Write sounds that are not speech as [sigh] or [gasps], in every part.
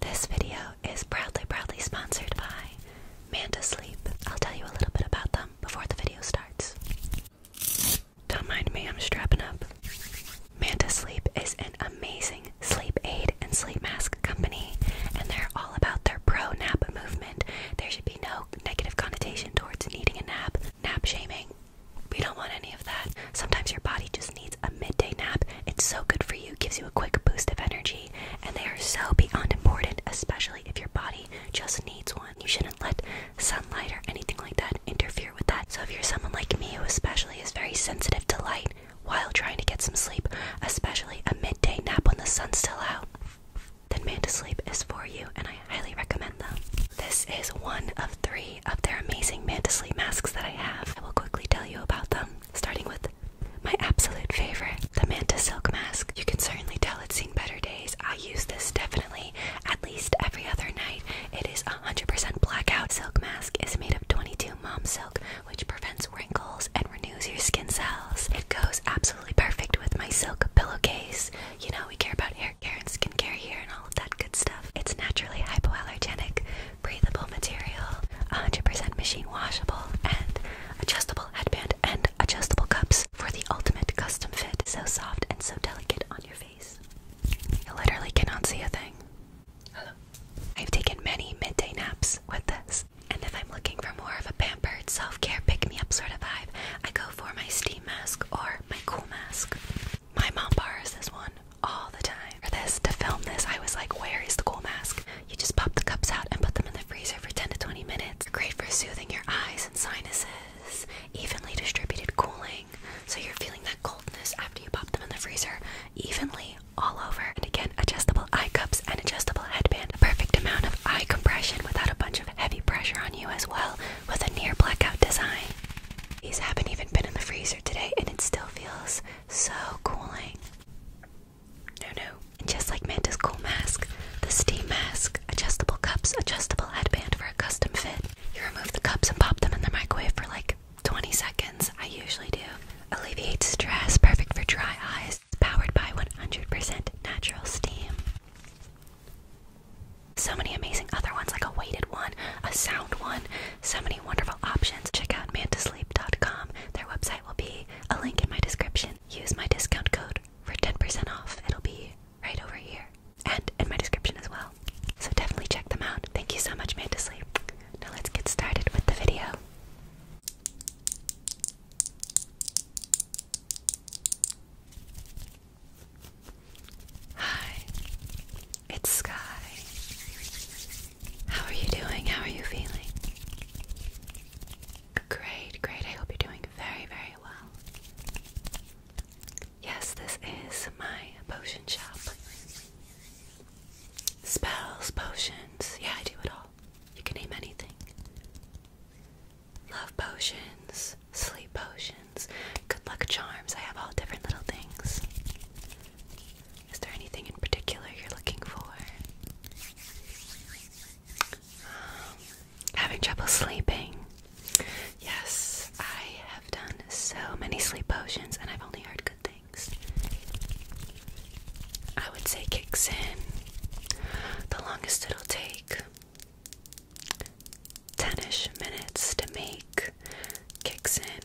This video is proudly, proudly sponsored by Manta Sleep. I'll tell you a little bit about them before the video starts. Don't mind me, I'm strapping up. Manta Sleep is an amazing sleep aid and sleep mask company, and they're all about their pro nap movement. There should be no negative connotation towards needing a nap, nap shaming. We don't want any of that. Sometimes your body just needs a midday nap. It's so good for you, gives you a quick boost of energy, and they are so beyond important, especially if your body just needs one. You shouldn't let sunlight or anything like that interfere with that. So if you're someone like me who especially is very sensitive to light while trying to get some sleep, especially a midday nap when the sun's still out, then Man to Sleep is for you, and I highly recommend them. This is one of three of their amazing Mantisley masks that I have. I will quickly tell you about them, starting with my absolute favorite, the Manta Silk Mask. You can certainly tell it's seen better days. I use this definitely at least every other night. It is 100% blackout. Silk Mask is made of 22 mom silk, which prevents wrinkles and renews your skin cells. It goes absolutely perfect with my silk pillowcase. You know, we care about hair care and skincare here and all of that good stuff. It's naturally hypoallergenic, breathable material, 100% machine washable, and adjustable headband and adjustable cups for the ultimate custom fit. So soft and so delicate on your face. You literally cannot see a thing. Hello. I've taken many midday naps with this. And if I'm looking for more of a pampered self-care pick-me-up sort of vibe, I go for my steam mask or my cool mask. My mom bars this one all the time. For this, to film this, I was like, where is the cool mask? You just pop the cups out and put them in the freezer for 10 to 20 minutes. Great for soothing your eyes and sinuses, evenly distributed cooling, so you're feeling that coldness after you pop them in the freezer, evenly all over. And again, adjustable eye cups and adjustable headband. The perfect amount of eye compression without a bunch of heavy pressure on you as well, with a near blackout design. These haven't even been in the freezer today and it still feels so cooling. No, no. And just like Manta's cool mask, the steam mask, adjustable cups, adjustable headband for a custom fit. You remove the cups and pop them in the microwave for like 20 seconds. I usually do. Alleviates stress, perfect for dry eyes. powered by 100% natural steam. So many amazing other ones, like a weighted one, a sound one, so many wonderful options. Check out mantasleep.com. Their website will be a link in my description. Use my discount code for 10% off. It'll be right over here and in my description as well. So definitely check them out. Thank you so much, Mantasleep. Now let's get started with the video. Hi, it's Sky. How are you doing? How are you feeling? Great, great. I hope you're doing very, very well. Yes, this is my potion shop. Spells, potions. Yeah, I do it all. You can name anything. Love potions, sleep potions good luck charms. I have all different little things. Is there anything in particular you're looking for? Um, having trouble sleeping. Yes, I have done so many sleep potions and I've only heard good things. I would say kicks in. The longest it'll take 10ish minutes to make kicks in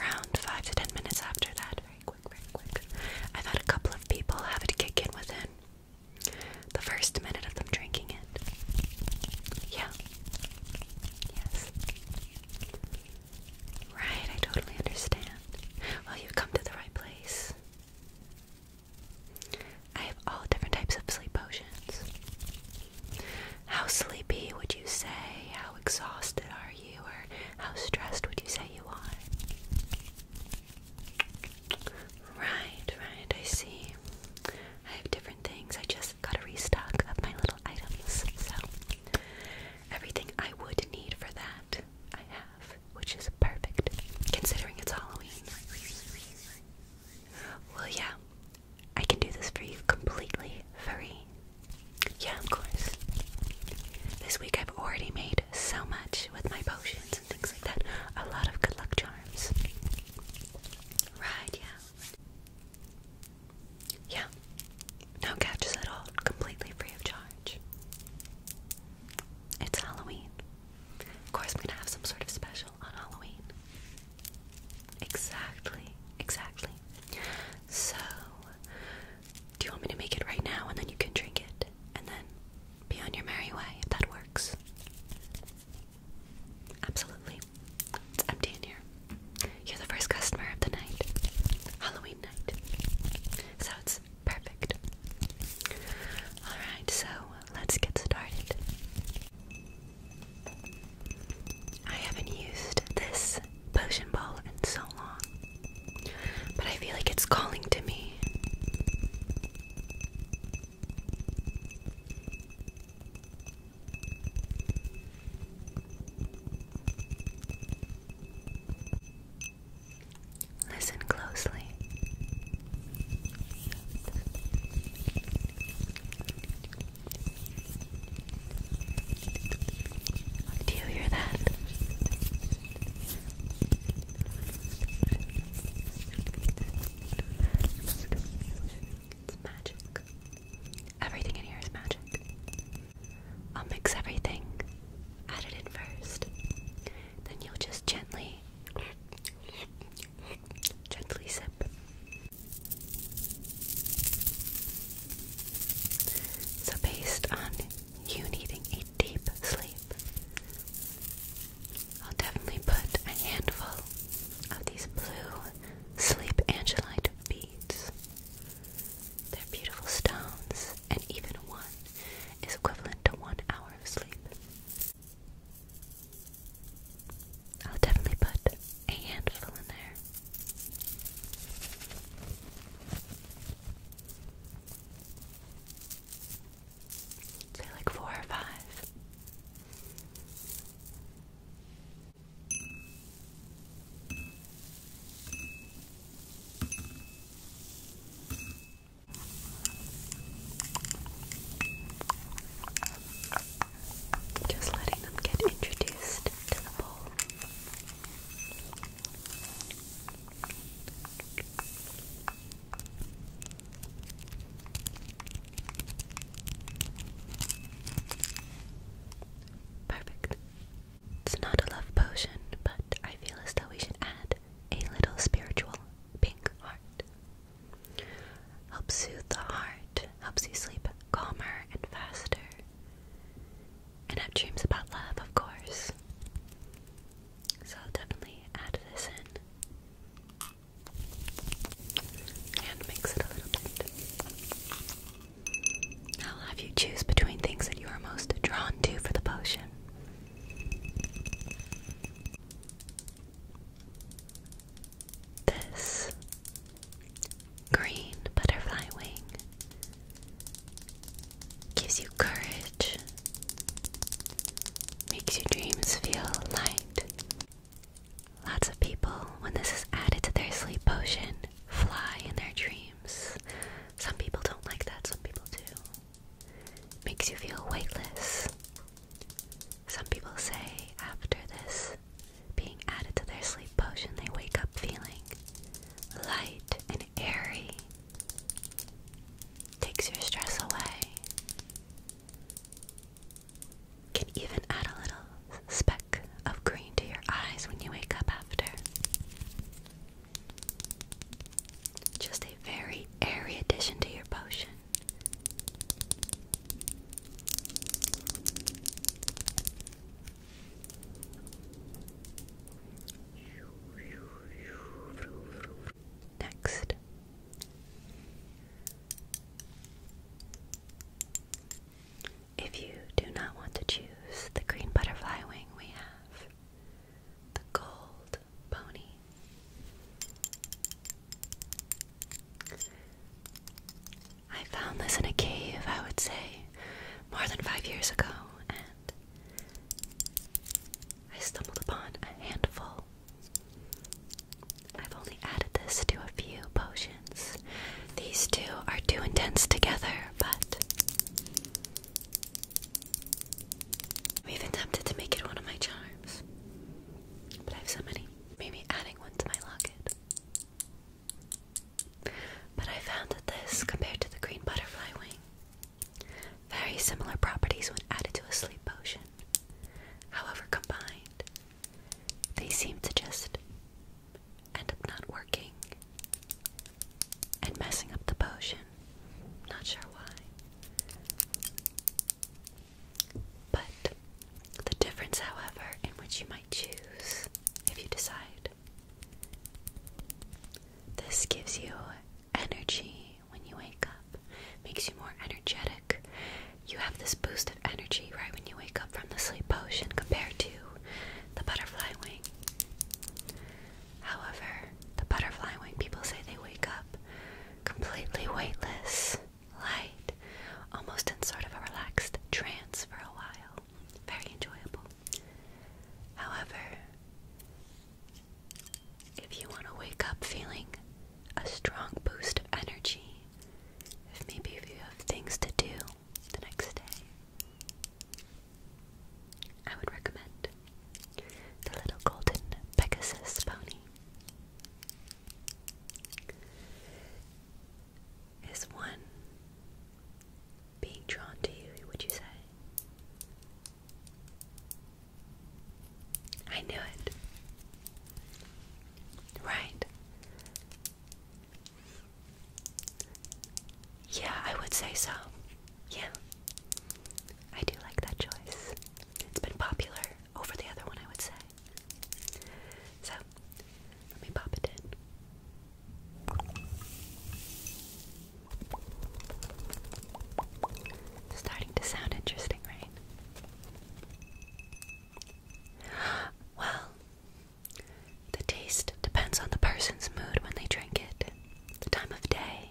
around five to ten minutes after that. Very quick, very quick. I've had a couple of people have it kick in within the first minute of them drinking it. Yeah. Yes. Right, I totally understand. Well, you've come to the right place. I have all different types of sleep potions. How sleepy would you say? How exhausted are you? Or how stressed would you say you are? Right, right, I see. I have different things. I just got a restock of my little items. So, everything I would need for that, I have, which is perfect considering it's Halloween. Well, yeah, I can do this for you completely free. Yeah, of course. This week I've already made so much with my potions and things like that. A lot of good luck charms. Right, yeah. Yeah. No catches at all. Completely free of charge. It's Halloween. Of course, I'm gonna have some sort of special on Halloween. Exactly, exactly. So, do you want me to make it right now and then you can drink it and then be on your merry way if that works? Absolutely. It's empty in here. You're the first customer of the night. Halloween night. So it's perfect. Alright, so let's get started. I haven't used this potion ball in so long, but I feel like it's calling to me. Listen closely. Do you hear that? It's magic. Everything in here is magic. I'll mix everything. Add it in first. Then you'll just gently Gently sip. So, based on you needing a deep sleep, I'll definitely put a handful of these blue sleep angelite beads. They're beautiful stones, and even one is equivalent to one hour of sleep. I'll definitely put a handful in there. Say like four or five. Just letting them get introduced to the bowl. Perfect. It's not a love potion, but I feel as though we should add a little spiritual pink heart. Helps soothe the heart, helps you sleep calmer and faster. And have dreams about love, of course. So I'll definitely add this in. And mix it a little bit. I'll have you choose between things that you are most drawn to for the potion this green butterfly wing gives you courage, makes your dreams feel light. Lots of people, when this is added to their sleep potion, fly in their dreams. Some people don't like that, some people do. makes you feel weightless, some people say after this being added to their sleep potion, they wake up feeling light and airy. Takes your stress away. Can even add a little speck of green to your eyes when you wake up after. Just a very airy addition to your potion. Next. If you do not want to choose the green butterfly wing, we have the gold pony, I found this in a cave, I would say, more than five years ago, and I stumbled upon a handful. I've only added this to a few potions. These two are too intense together, but I'm even to make it one of my charms. But I have so many maybe adding one to my locket. But I found that this, compared to the green butterfly wing, very similar properties when added to a sleep potion. However, combined, they seem to just end up not working and messing up the potion. Not sure why. But the difference, however, in which you might choose if you decide, this gives you energy when you wake up, makes you more energetic. You have this boost of energy right when you wake up from the sleep potion compared to the butterfly wing. However, the butterfly wing people say they wake up completely weightless light, almost in sort of a relaxed trance for a while. Very enjoyable. However, if you want to wake up feeling a strong boost of energy, if maybe if you have things to do the next day, I would recommend the little golden Pegasus pony. Is one being drawn to you, would you say? I knew it. Right. Yeah, I would say so. Yeah. I do like that choice. It's been popular over the other one, I would say. So, let me pop it in. starting to sound interesting, right? [gasps] Well, the taste depends on the person's mood when they drink it, the time of day.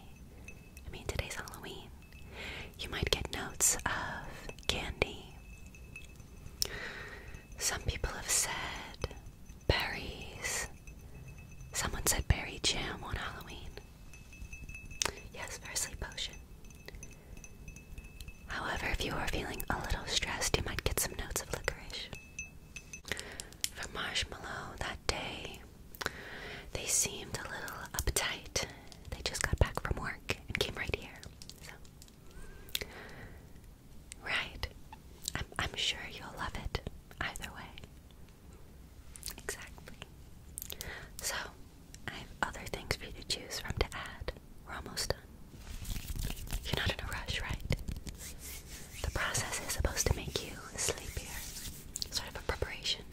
I mean, today's Halloween. You might get notes of candy. Some people have said berries. Someone said berry jam on Halloween. Yes, for potion. However, if you are feeling a little stressed, you might get some notes of licorice. For marshmallow that day, they seemed a little uptight they just got back from work and came right here. right. I'm sure you'll love it either way. Exactly. So, I have other things for you to choose from to add. We're almost done. You're not in a rush, right? The process is supposed to make you sleepier, sort of a preparation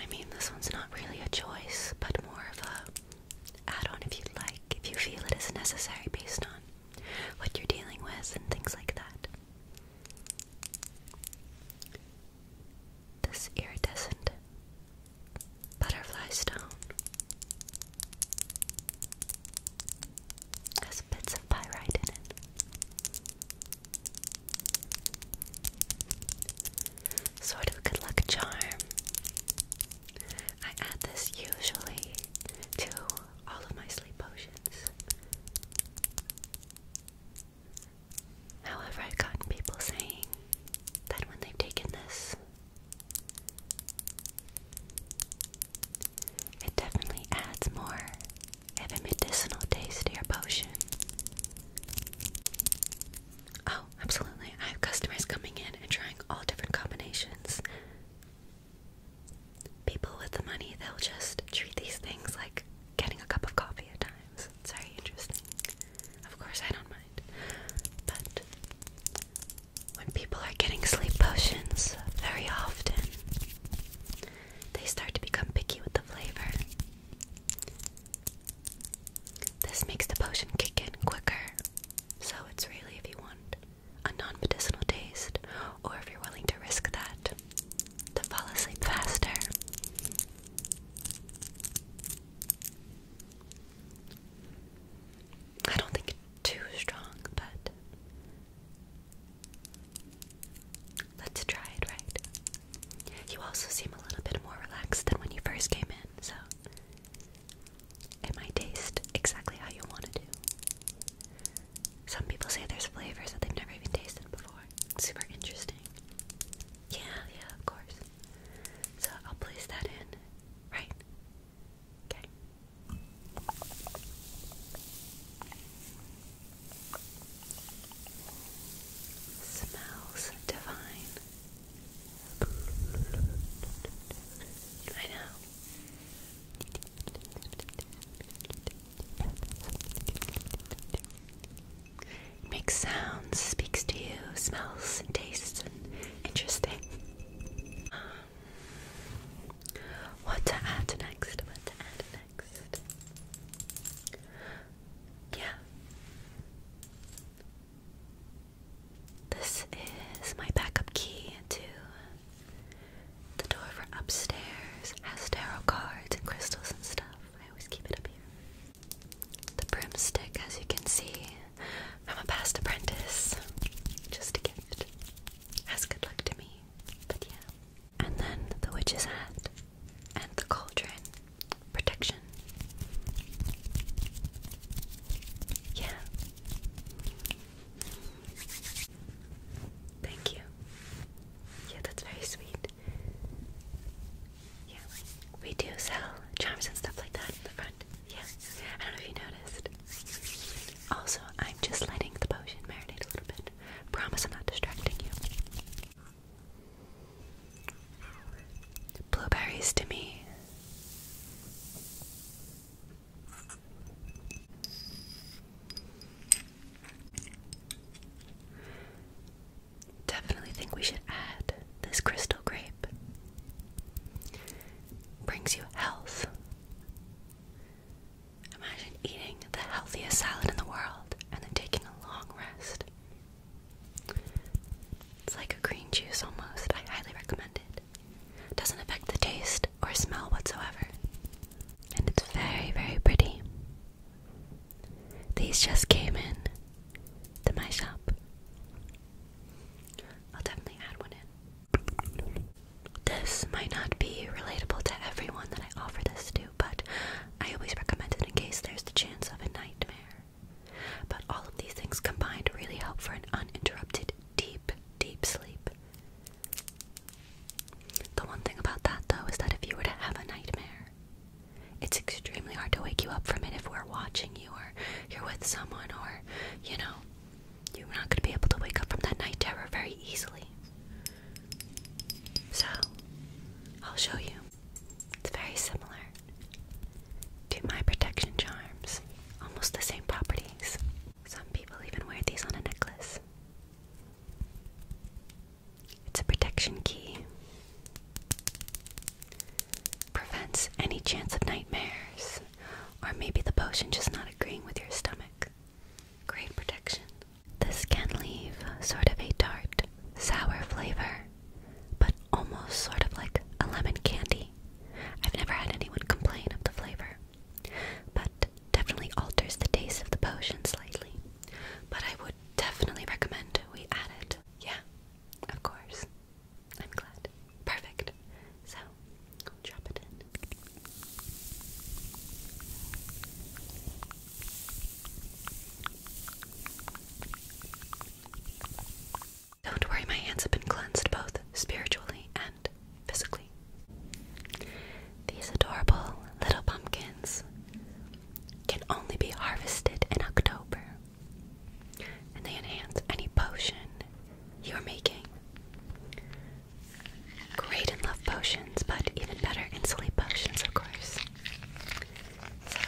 I mean, this one's not really a choice, but more of a add-on if you like, if you feel it is necessary based on what you're dealing with and things like that. This iridescent butterfly stone has bits of pyrite in it sort of good luck charm. I add this usually to all of my sleep potions. However, I've gotten people saying that when they've taken this, it definitely adds more of a medicinal taste to your potion. Oh, absolutely. I have customers coming in and trying all different combinations. People with the money, they'll just treat these things like getting a cup of coffee at times. It's very interesting. Of course, I don't mind. But when people are getting sleep potions very often, they start to become picky with the flavor. This makes the potion kick in quicker, so it's really if you want a non medicinal taste or if you're willing to risk that to fall asleep faster. I don't think it's too strong, but Let's try it, right? You also seem a little bit more relaxed than when you first came in, so it might taste exactly how you want it to. Some people say there's flavors that they've never even tasted before. super interesting. Yeah, yeah, of course. So I'll place that in, right? Okay. Smells divine. I know. makes sounds, speaks to you, smells tastes and interesting. Um, what to add next? What to add yeah. This is my backup key to the door for upstairs. has tarot cards and crystals and stuff. I always keep it up here. The broomstick, as you can see, from a past apprentice. Just a gift. Has good luck to me. But yeah. And then the witch's hat and the cauldron. Protection. Yeah. Thank you. Yeah, that's very sweet. Yeah, we do sell charms and stuff like that in the front. Yeah, I don't know if you noticed. Also, I'm just letting the potion marinate a little bit. Promise I'm not distracting you. Blueberries to me. Definitely think we should add this crystal grape. Brings you health. Imagine eating the healthiest salad in the world and then taking a long rest. It's like a green juice almost. I highly recommend it. Doesn't affect the taste or smell whatsoever. And it's very, very pretty. These just came in to my shop. I'll definitely add one in. This might not be relatable to everyone that I offer this to, but I always recommend it in case there's the chance of a nightmare. But all of these things combined really help for an uninterrupted, deep, deep sleep. The one thing about that, though, is that if you were to have a nightmare, it's extremely hard to wake you up from it if we're watching you or you're with someone or, you know, you're not going to be able to wake up from that nightmare very easily. So, I'll show you it's very similar to my protection charms, almost the same properties. Some people even wear these on a necklace. It's a protection key. Prevents any chance of nightmares, or maybe the potion just not agreeing with your stomach. Great protection. This can leave sort of a tart, sour flavor, but almost sort of like a lemon candy. I've never had anyone complain of the flavor, but definitely alters the taste of the potion slightly. But I would definitely recommend we add it. Yeah, of course. I'm glad. Perfect. So, drop it in. Don't worry, my hands have been cleansed both spiritually and physically. These adorable little pumpkins can only be harvested in October, and they enhance any potion you're making. Great in love potions, but even better in sleep potions, of course. So,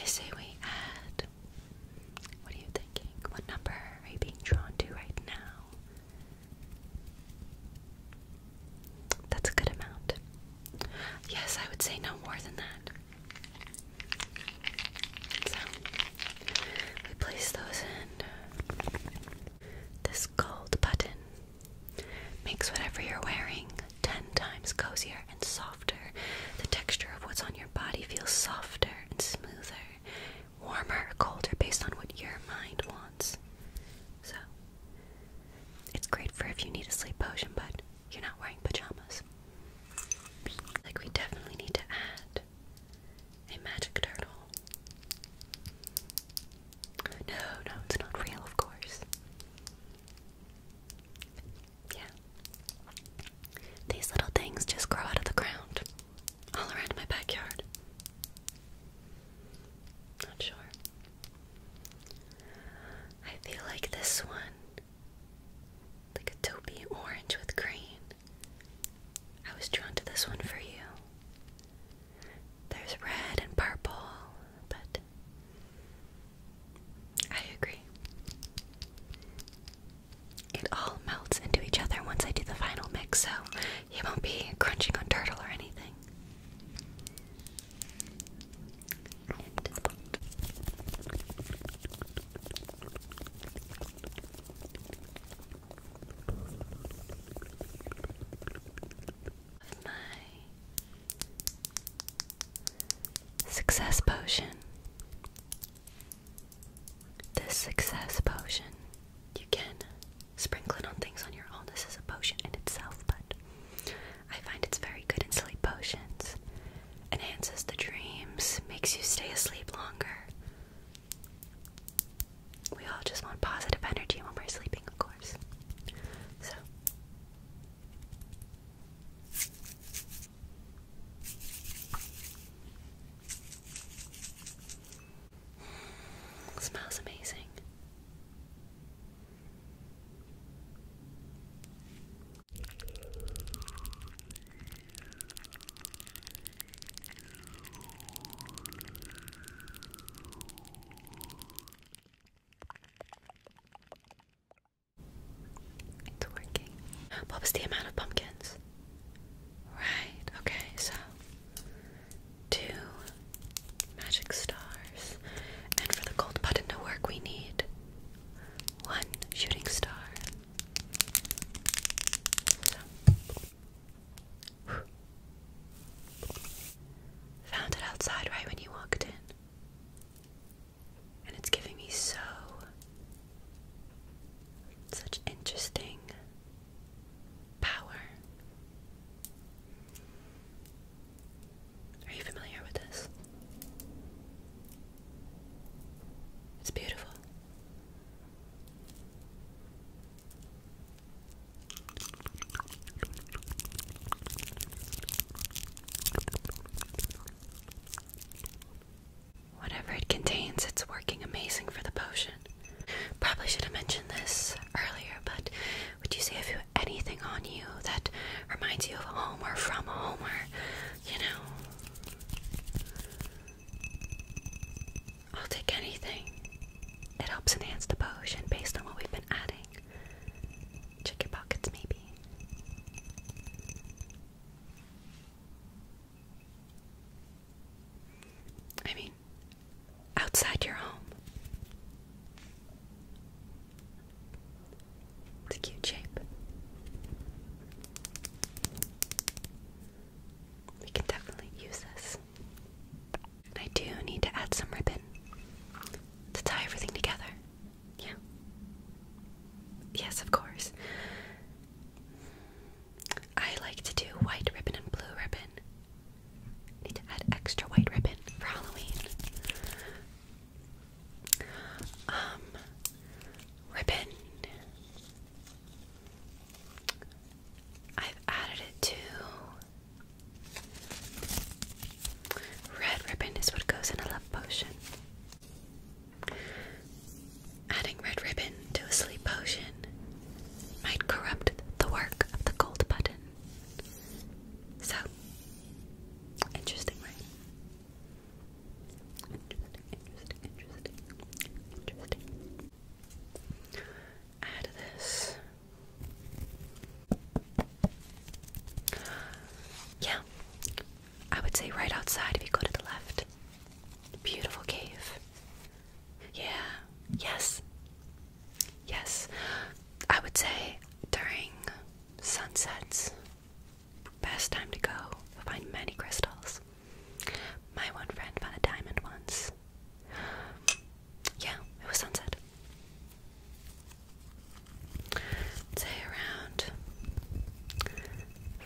I say we add. What are you thinking? What number are you being drawn to right now? That's a good amount. Yes, I would say no more than that. So, we place those in this gold button Makes whatever you're wearing 10 times cozier and softer. The texture of what's on your body feels softer and smoother, warmer colder based on what your mind wants. So, it's great for if you need a sleep potion, but you're not wearing pajamas. Like, we definitely need to add a magic turtle. No, no, it's not real, of course. Yeah. These little things just grow out of the ground, all around my backyard. Not sure. I feel like this one, like a taupey orange with green. I was drawn to this one for you. There's red and purple, but I agree. It all melts into each other once I do the final mix, so you won't be crunching on turtle or anything. With my success potion. This success potion, you can sprinkle it on things on your own. This is a potion in itself, but I find it's very good in sleep potions. Enhances the dreams, makes you stay asleep longer we all just want positive energy when we're sleeping, of course. So, smells amazing. It's working. What was the amount of pumpkins? Right, okay, so two magic stars. And for the gold button to work, we need one shooting star. Found it outside right when you walked in. And it's giving me so. such interesting power. Are you familiar with this? It's beautiful. Whatever it contains, it's working amazing for the potion. Probably should have mentioned this earlier, but would you say if you have anything on you that reminds you of home or from home or, you know? I'll take anything. It helps enhance the potion based on what we've been adding. Check your pockets, maybe. I mean, outside your home. It's a cute shape. We can definitely use this. I do need to add some ribbon to tie everything together. Yeah. Yes, of course. I like to do white ribbon and blue ribbon. Need to add extra white ribbon for Halloween. Um ribbon I've added it to red ribbon is what goes in a love potion. Adding red ribbon to a sleep potion might corrupt the work of the gold button. So, interesting, interesting, interesting, interesting out of this. Yeah, I would say right outside if you go to the left. Beautiful cave. Yeah, yes, yes. I would say during sunsets, best time to go. Find many crystals. My one friend found a diamond once. Yeah, it was sunset. say around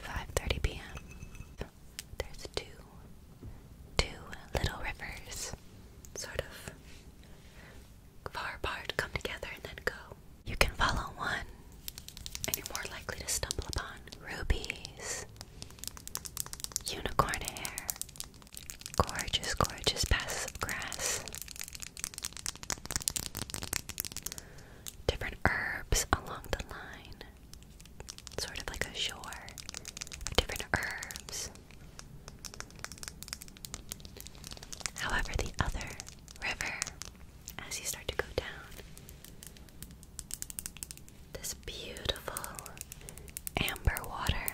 5:30 p.m. There's two two little rivers sort of far apart come together and then go. You can follow one and you're more likely to stumble upon rubies Unicorn hair. Gorgeous, gorgeous passes of grass. Different herbs along the line. Sort of like a shore of different herbs. However, the other river, as you start to go down, this beautiful amber water.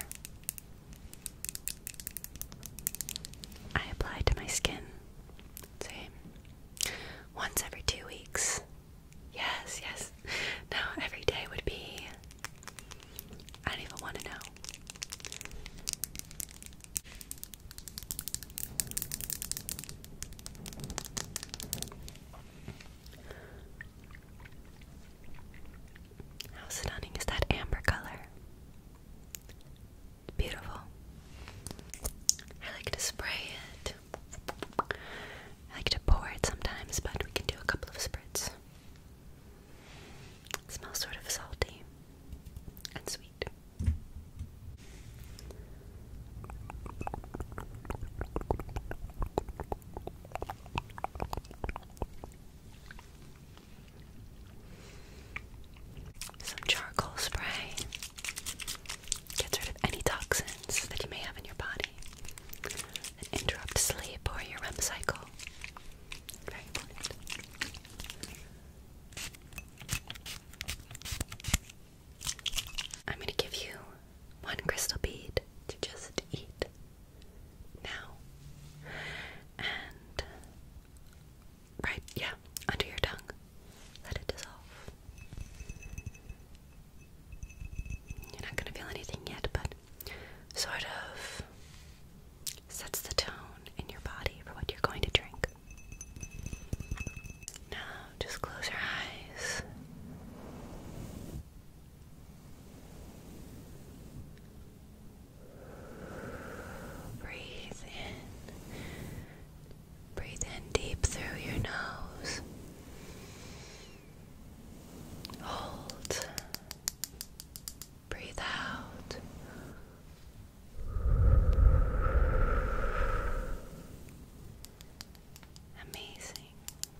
I apply to my skin. See? Once every two weeks. Yes, yes. Now every day would be. I don't even want to know. How stunning is that amber color? Beautiful. I like to spray it. I like to pour it sometimes, but we can do a couple of spritzes. smells sort of salty and sweet. Some charcoal spray gets rid of any toxins that you may have in your body that interrupt sleep or your REM cycle. Very important. I'm going to give you one crystal bead to just eat now. And right, yeah, under your tongue. Let it dissolve. You're not going to feel anything yet, but sort of sets the tone in your body for what you're going to drink. Now, just close your eyes. Breathe in. Breathe in deep through your nose. Hold. Breathe out. Amazing.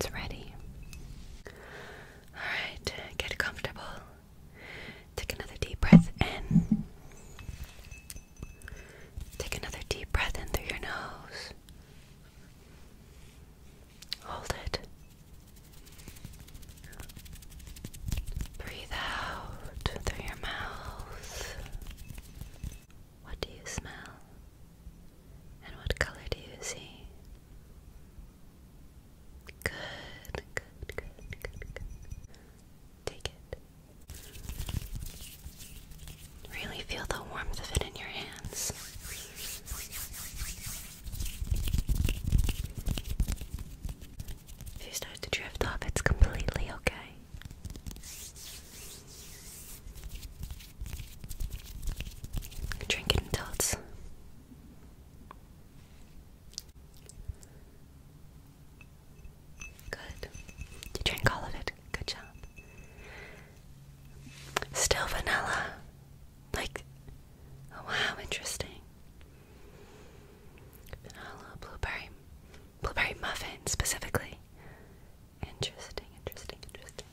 It's ready. Alright, get comfortable. Take another deep breath in. Take another deep breath in through your nose. Hold it. Breathe out through your mouth. What do you smell? And what color do you see? Good, good, good, good, Take it. Really feel the warmth of it in your hands. If you start to drift off, it's completely okay. Drink it good. You drink all of it. Good job. Still vanilla. Like, oh wow, interesting. Vanilla blueberry, blueberry muffin specifically. Interesting, interesting, interesting.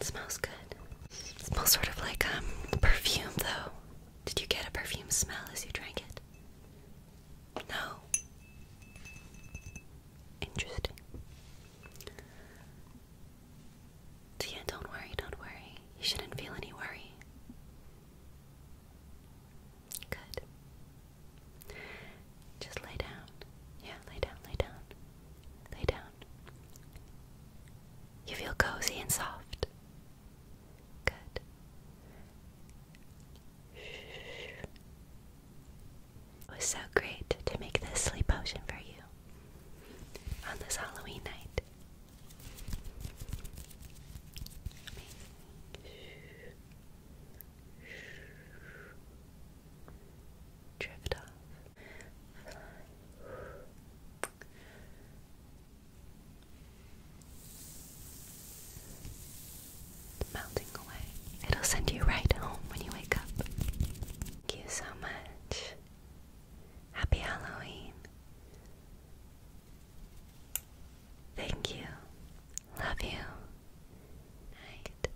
smells good. smells sort of like um, perfume though. Did you get a perfume smell as you drank it? No. Interesting. Tia, don't worry, don't worry. You shouldn't feel any worry. Good. Just lay down. Yeah, lay down, lay down. Lay down. You feel cozy and soft. Good. It was so great to make this sleep potion for you on this Halloween night. Drift off. Melting away. It'll send you right home when you wake up. Thank you so much. Happy Halloween. Thank you. Love you. Night.